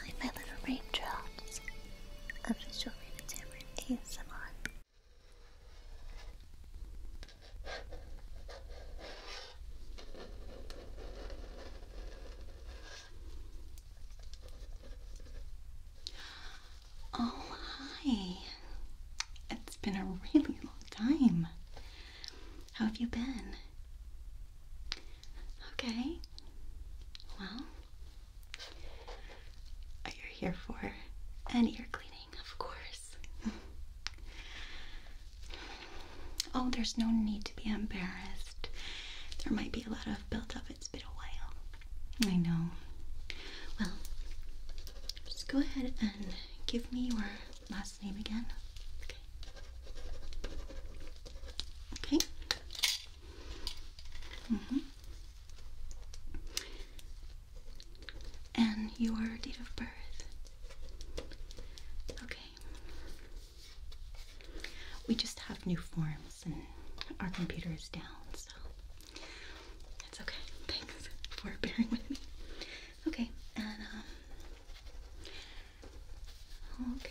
Hi, my little raindrops. I'm just showing the camera ASMR. Oh, hi. It's been a really long time. How have you been? Okay. Well, you're here for an ear cleaning, of course. oh, there's no need to be embarrassed. There might be a lot of built up. It's been a while. I know. Well, just go ahead and give me your last name again. Okay. Mm -hmm. And your date of birth. Okay. We just have new forms and our computer is down, so it's okay. Thanks for bearing with me. Okay, and um Okay.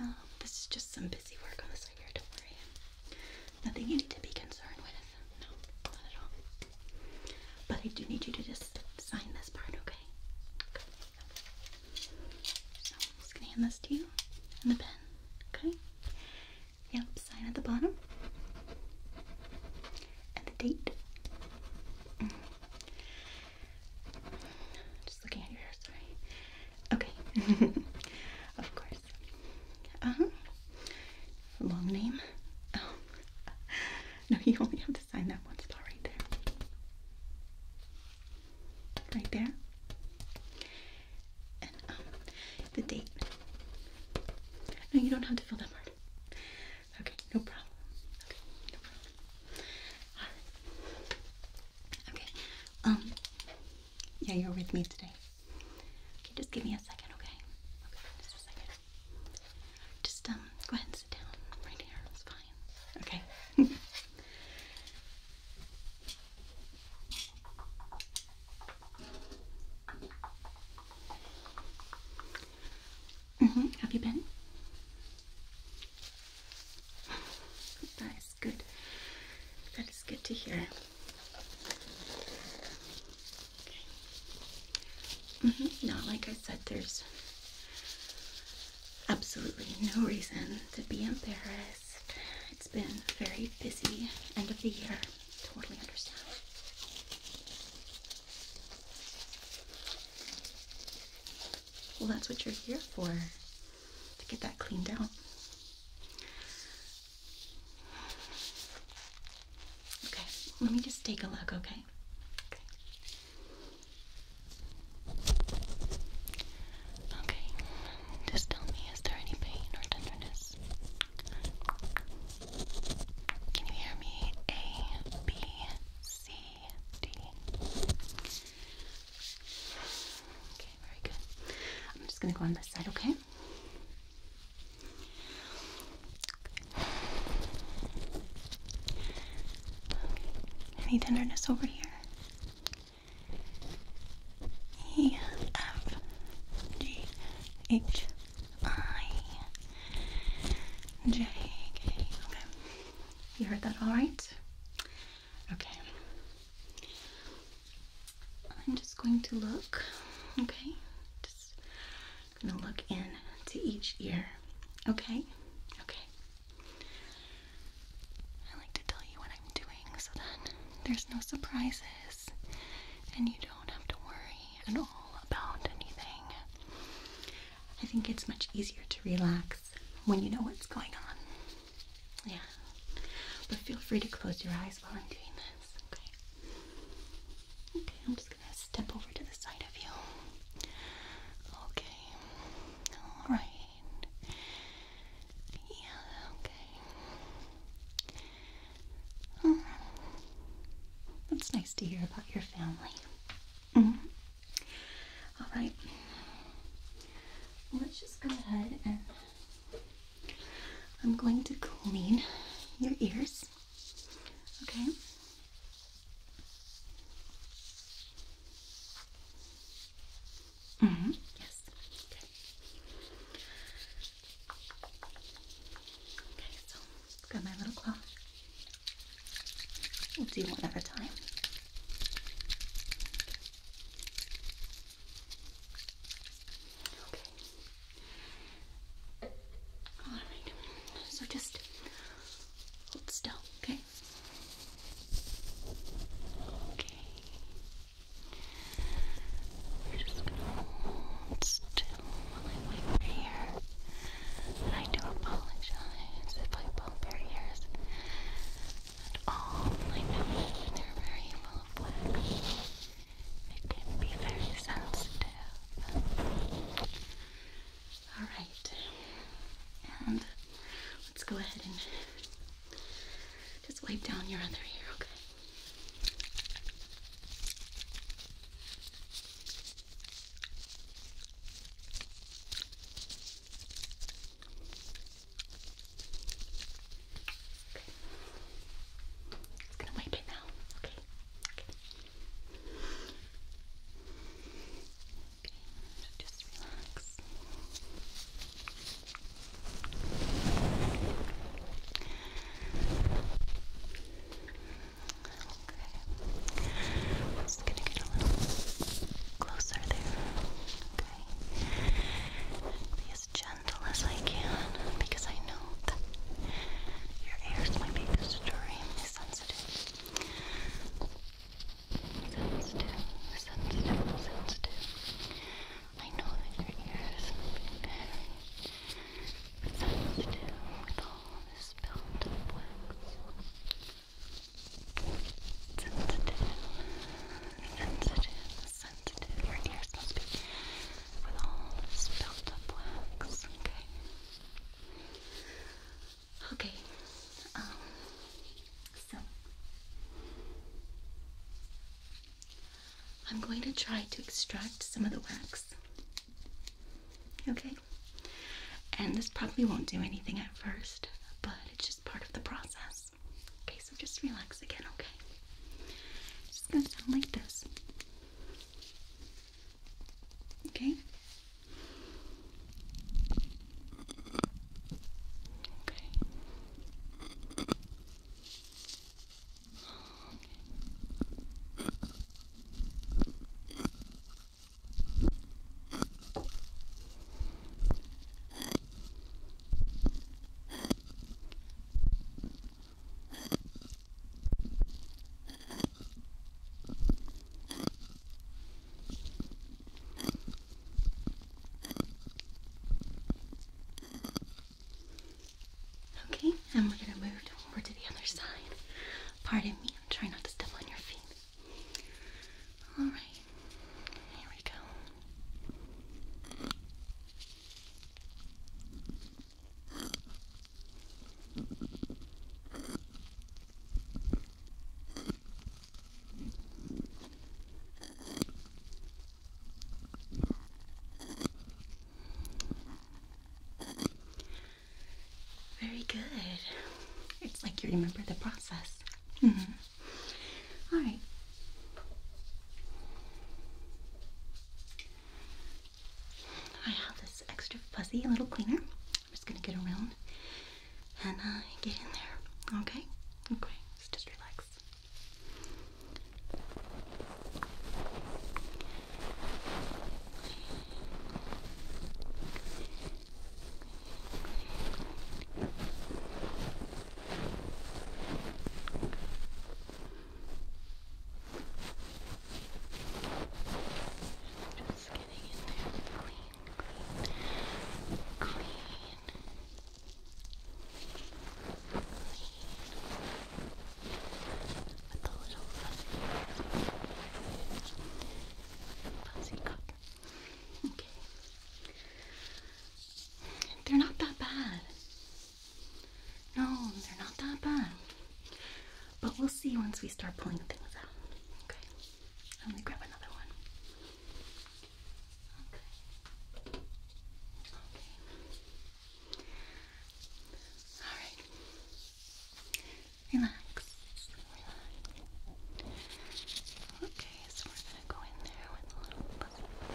Uh, this is just some busy work on the side here. Don't worry. Nothing you need to be concerned with. No, not at all. But I do need you to just sign this part, okay? okay. just gonna hand this to you and the pen. Okay. Yep. Sign at the bottom. And the date. Mm-hmm. Just looking at your hair, sorry. Okay. of course. Uh huh. Long name. Oh. No, you only have to sign that one spot right there. Right there. And um, the date. No, you don't have to fill that part. Okay, no problem. Okay, no problem. Okay. Um. Yeah, you're with me today. Okay, just give me a second, okay? Okay, just a second. Just um, go ahead and sit down right here. It's fine. Okay. hmm Have you been? That is good. That is good to hear. Mm-hmm. Not like I said, there's absolutely no reason to be embarrassed. It's been very busy end of the year. Totally understand. Well, that's what you're here for to get that cleaned out. Okay, let me just take a look, okay? Okay. Okay, just tell me, is there any pain or tenderness? Can you hear me? A, B, C, D. Okay, very good. I'm just going to go on this side, okay? Any tenderness over here? E, F, G, H, I, J, K. You heard that all right? Okay. I'm just going to look, okay? Just gonna look into each ear, okay? Okay. I like to tell you what I'm doing so that there's no surprises and you don't have to worry at all about anything. I think it's much easier to relax when you know what's going on. Yeah. But feel free to close your eyes while I'm doing this, okay? Okay, I'm just gonna step over to the side of you. Okay. Alright. Yeah, okay. Hmm. that's nice to hear about your family. Mm-hmm. All right. Let's just go ahead and I'm going to clean your ears. Okay. Mm -hmm. Yes. Okay. Okay. So, got my little cloth. We'll do one at a time. Okay. All right. So just hold still, okay? Okay. We're just gonna hold still while I wait for here. I do apologize if I bump your ears at all. I know they're very full of wax. can be very sensitive. Alright. And let's go ahead and just wipe down your other ear, okay? It's gonna wipe it now. Okay. Okay. okay. Just relax. Okay. i just gonna get a little closer there. Okay. as gentle as I can because I know that your ears, might be extremely sensitive. Sensitive, sensitive, sensitive. I know that your ears are very sensitive with all this built up wax sensitive, sensitive, sensitive. Your ears must be with all this built up wax, okay? Okay, um, so I'm going to try to extract some of the wax. Okay? And this probably won't do anything at first, but it's just part of the process. Okay, so just relax again, okay? It's just gonna sound like this. Okay? Okay. okay. Okay, and we're gonna move over to the other side. Pardon me, I'm trying not to step on your feet. All right, here we go. Very good. It's like you remember the process. Mm-hmm. All right. I have this extra fuzzy little cleaner. I'm just gonna get around and uh, get in there. Okay? Okay. just relax. Just getting in there clean, clean, clean, clean. With a little fuzzy. They're not that bad. No, they're not that bad. But we'll see once we start pulling things out. Okay. I'm grab another one. Okay. Okay. Alright. Relax. Okay, so we're gonna go in there with a little fuzzy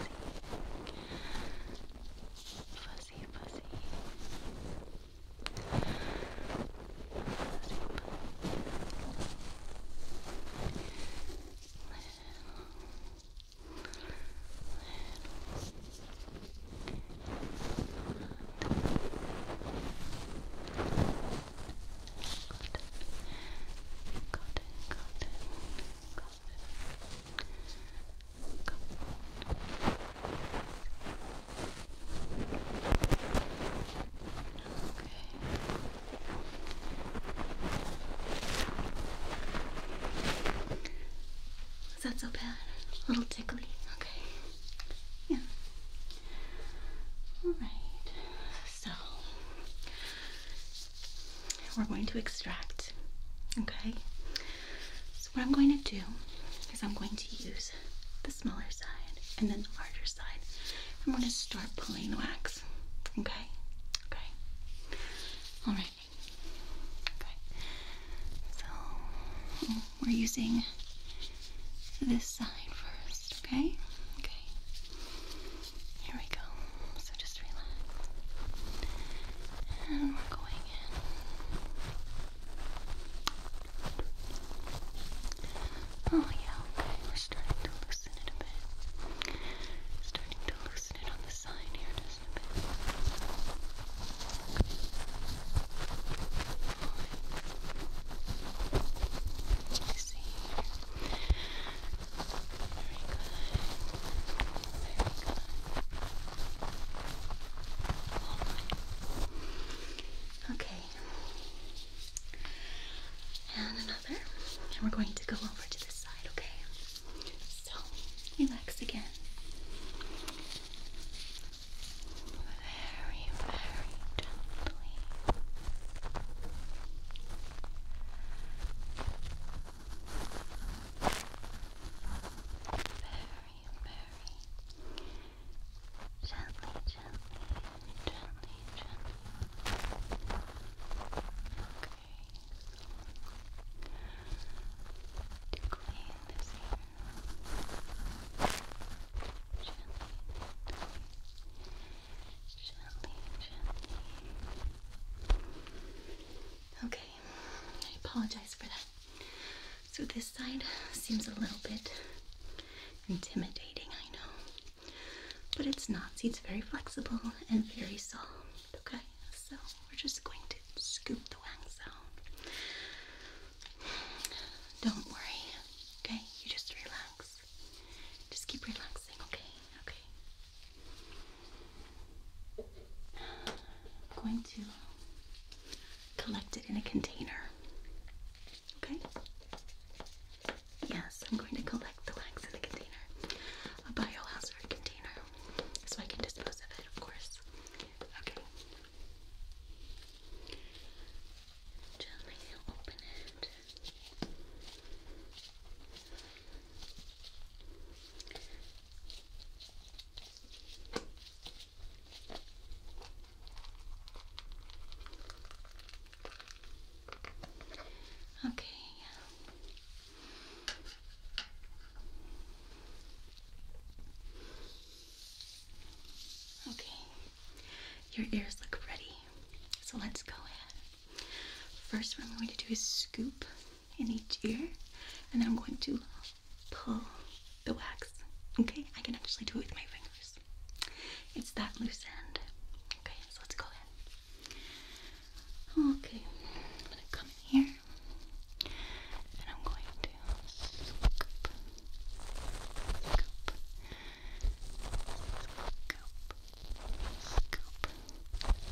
fuzzy. Fuzzy fuzzy. little, little, is that so bad? A little tickly? Okay. Yeah. Alright, so we're going to extract, okay? So, what I'm going to do is I'm going to use the smaller side and then the larger side. I'm going to start pulling the wax, okay? Okay. Alright. Okay. So we're using this side first, okay? Okay. Here we go. So just relax. And we're going in. Oh, yeah, okay. We're starting to loosen it a bit. Starting to loosen it on the side here just a bit. Okay. And another. And we're going to go over to this side, okay? So, relax again very, very gently. Very, very gently, gently, gently, gently. Okay. To clean this Okay, I apologize for that. So, this side seems a little bit intimidating, I know, but it's not. See, it's very flexible and very soft. Okay, so we're just going to scoop the wangs out. Don't worry, okay? You just relax. Just keep relaxing, okay? Okay. I'm going to collect it in a container, okay? Yes, I'm going to collect the wax in the container, a biohazard container, so I can dispose of it, of course. Okay. Gently open it. Okay, yeah. Okay, your ears look ready. So let's go in. First, what I'm going to do is scoop in each ear, and then I'm going to pull the wax. Okay, I can actually do it with my fingers. It's that loose end. Okay, so let's go ahead. Okay, I'm gonna come here and I'm going to scoop, scoop, scoop,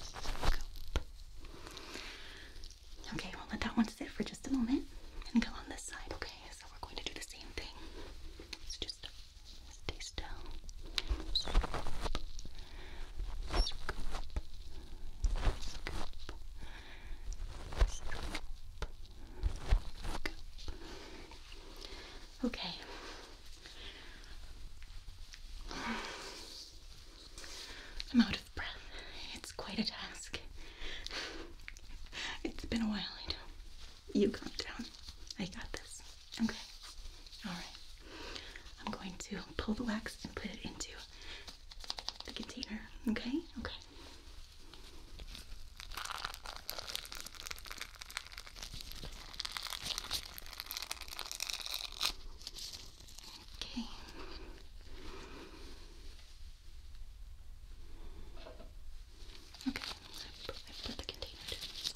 scoop, scoop. Okay, we'll let that one sit for just a moment and go on this side, okay? So we're going to do the same thing. So just stay still. Scoop, scoop, scoop. Okay. I'm out of breath. It's quite a task. It's been a while, You calm down. I got this. Okay. Alright. I'm going to pull the wax and put it into the container. Okay? Okay. Okay. Okay, so I put the container to the side.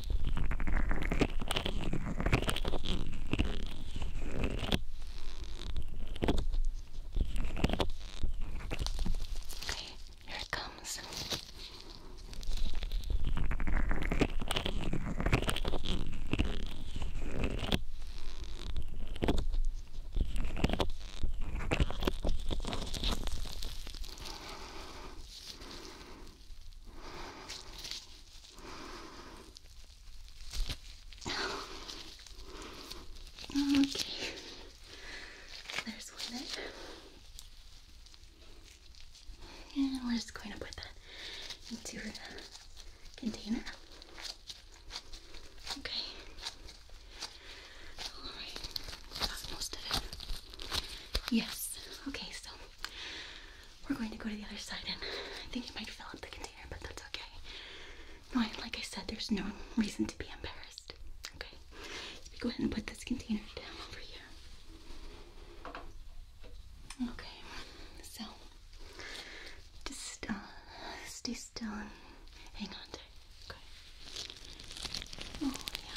Here it comes. Okay, there's one And we're just going to put that into the container. Okay. Alright, that's most it. Yes. Okay, so we're going to go to the other side, and I think it might fill up the container, but that's okay. No, like I said, there's no reason to be embarrassed. Okay, let's go ahead and put this container down over here. Okay, so just uh, stay still and hang on tight. Okay. Oh yeah.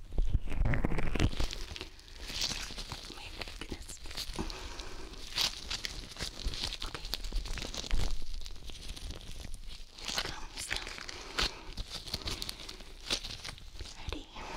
my goodness. Okay. Here it comes now. Be ready. Okay.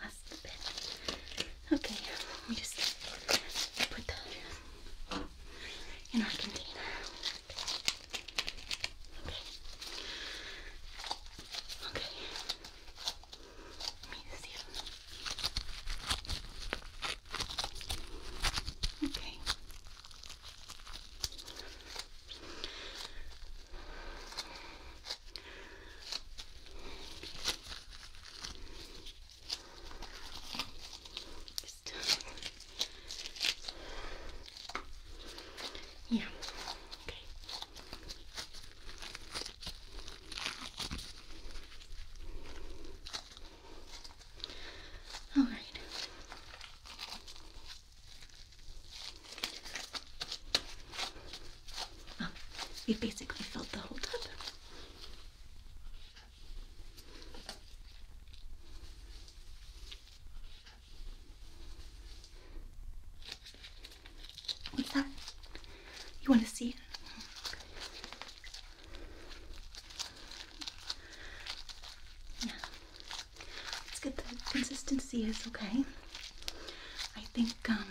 Last bit. Okay, let me just put that in our container. Okay. Okay. Let me see. Okay yeah. Okay. All right we basically filled the whole tub. What's that? You want to see it? Yeah. Let's get the consistency is okay. I think um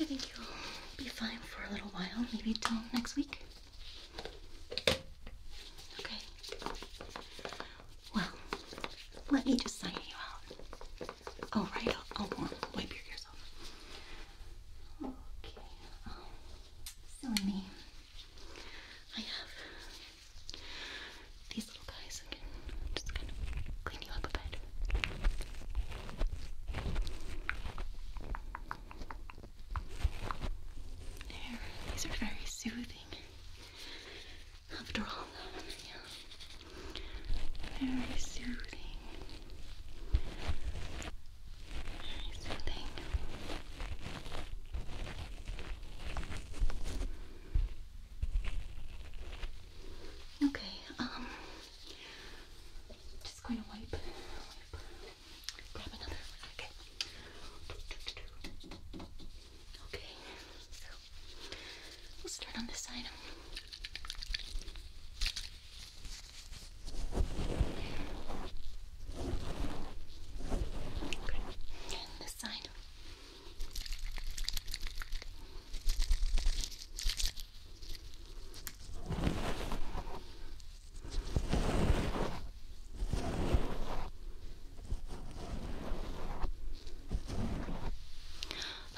I think you'll be fine for a little while, maybe till next week. Okay. Well, let me just sign you out. Oh right, I'll, wipe your ears off. Okay. Um, oh, me. I have these little guys that can just kind of clean you up a bit. these are very soothing. After all, Very soothing. Very soothing. Okay, um, just going to wipe, grab another one. Okay. Okay, so we'll start on this side. Okay, this side.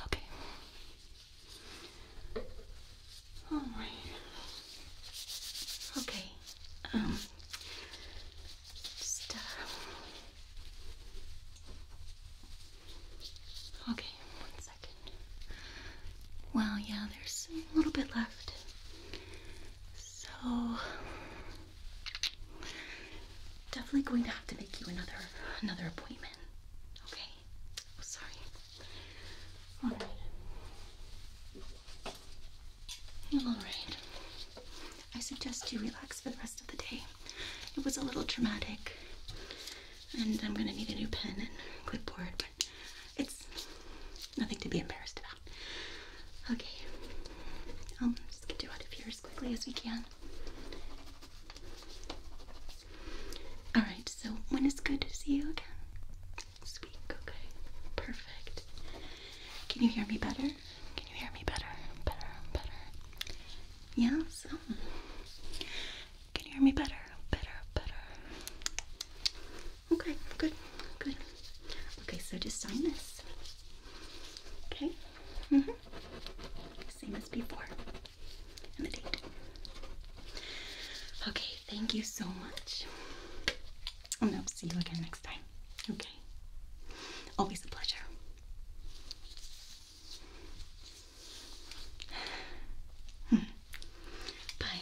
Okay. All right. Okay. Um uh, okay, one second. Well, yeah, there's a little bit left. So definitely going to have to make you another another appointment. Okay. Oh, sorry. All right. All right. I suggest you relax for the rest of the day. It was a little traumatic, and I'm gonna need a new pen and clipboard, but it's nothing to be embarrassed about. Okay. I'll just get you out of here as quickly as we can. All right. So when is good to see you again? This week. Okay. Perfect. Can you hear me better? Can you hear me better? Better, better. Yes. Can you hear me better? Better, better. Okay, good, good. Okay, so just sign this. Okay. Mhm. Same as before. And the date. Okay, thank you so much. And I'll see you again next time. Okay. Always a pleasure. Hmm. Bye.